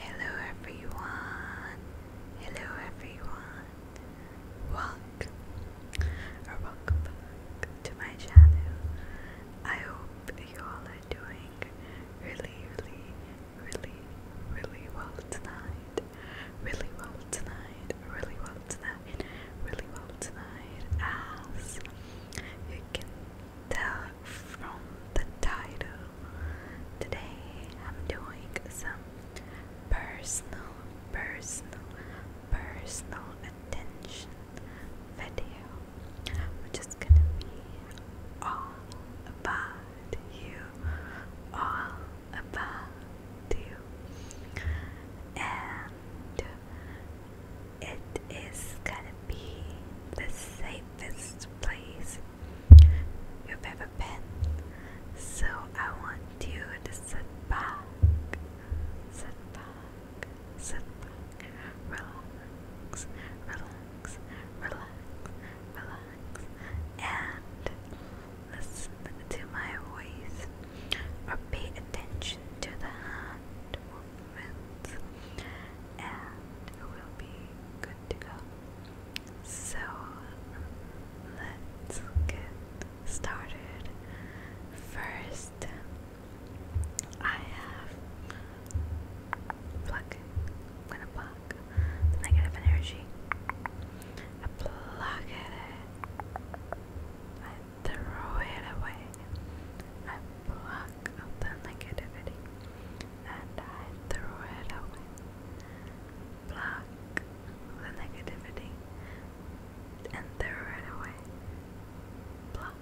Hello everyone. Hello everyone. Welcome or welcome to my channel. I hope you all are doing really really really really well tonight. Really well tonight. Really well tonight. Really well tonight as you can from the title, today I'm doing some personal, personal, personal attention video, which is gonna be all about you, all about you, and it is gonna be the safest place you've ever been. So I want you to sit back, sit back, sit back, relax, relax, relax, relax, and listen to my voice or pay attention to the hand and we'll be good to go. So let's get started. First, I have pluck. I'm gonna pluck negative energy. I pluck it throw it away. I the negativity and throw it away. Pluck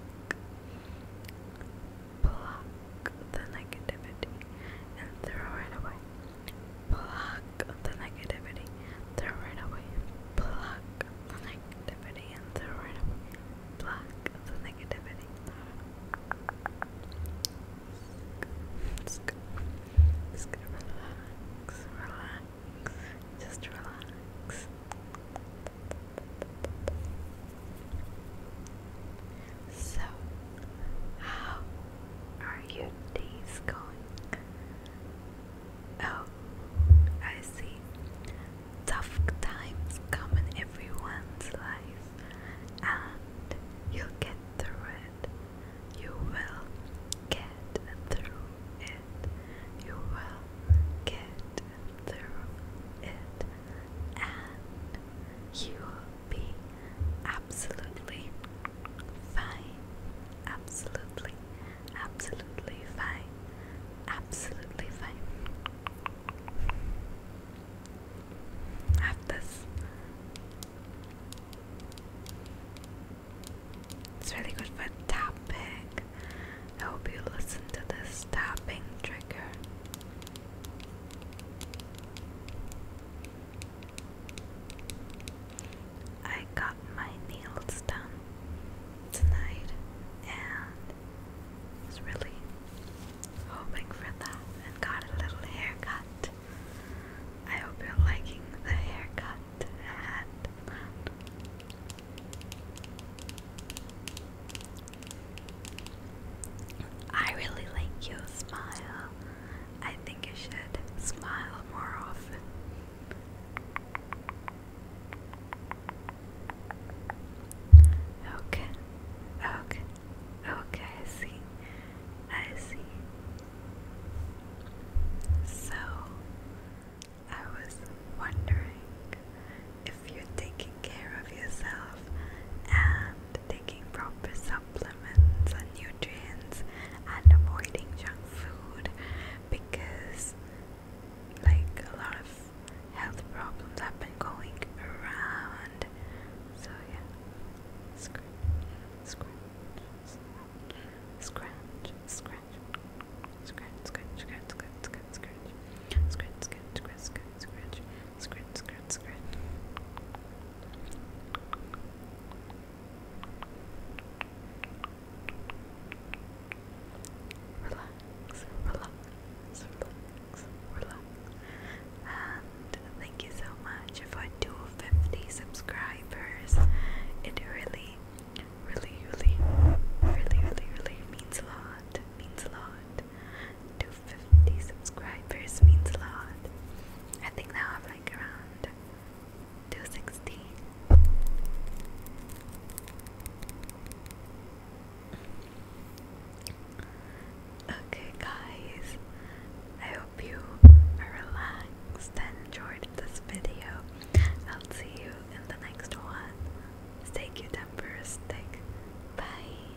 the negativity and throw it away. Pluck. Pluck the negativity and throw it away. Pluck the negativity, throw it away. Pluck the negativity and throw it block the negativity. Just, relax, relax, just relax. So, how are your days going? Oh, I see. Tough times come in everyone's life, and you'll get through it. You will get through it. You will get through it, and you will be absolutely fine. Absolutely absolutely fine, absolutely fine. Have this. It's really good for tapping. I hope you listen to this tapping trigger. I got my nails done tonight and was really hoping for that and got a little haircut. I hope you're liking the haircut I really like your smile. I think you should smile more often. Okay, okay, okay, I see, I see. So, I was wondering if you're taking care of yourself and taking proper supplements and nutrients and avoiding junk food because like a lot of health problems have been going around. So yeah. Scratch, scratch, scratch, scratch, scratch, scratch, scratch, scratch, scratch, scratch, scratch, scratch, scratch, scratch, scratch, scratch, scratch. Relax, relax, relax, relax. And thank you so much for 250 subscribers. It really, really, really, really, really, means a lot. Means a lot. 2 50 subscribers means a lot. I think now I'm like around 260. Okay, guys, I hope you are relaxed and enjoyed this video. I'll see you in the next one. Stay cucumbers, stick. Bye.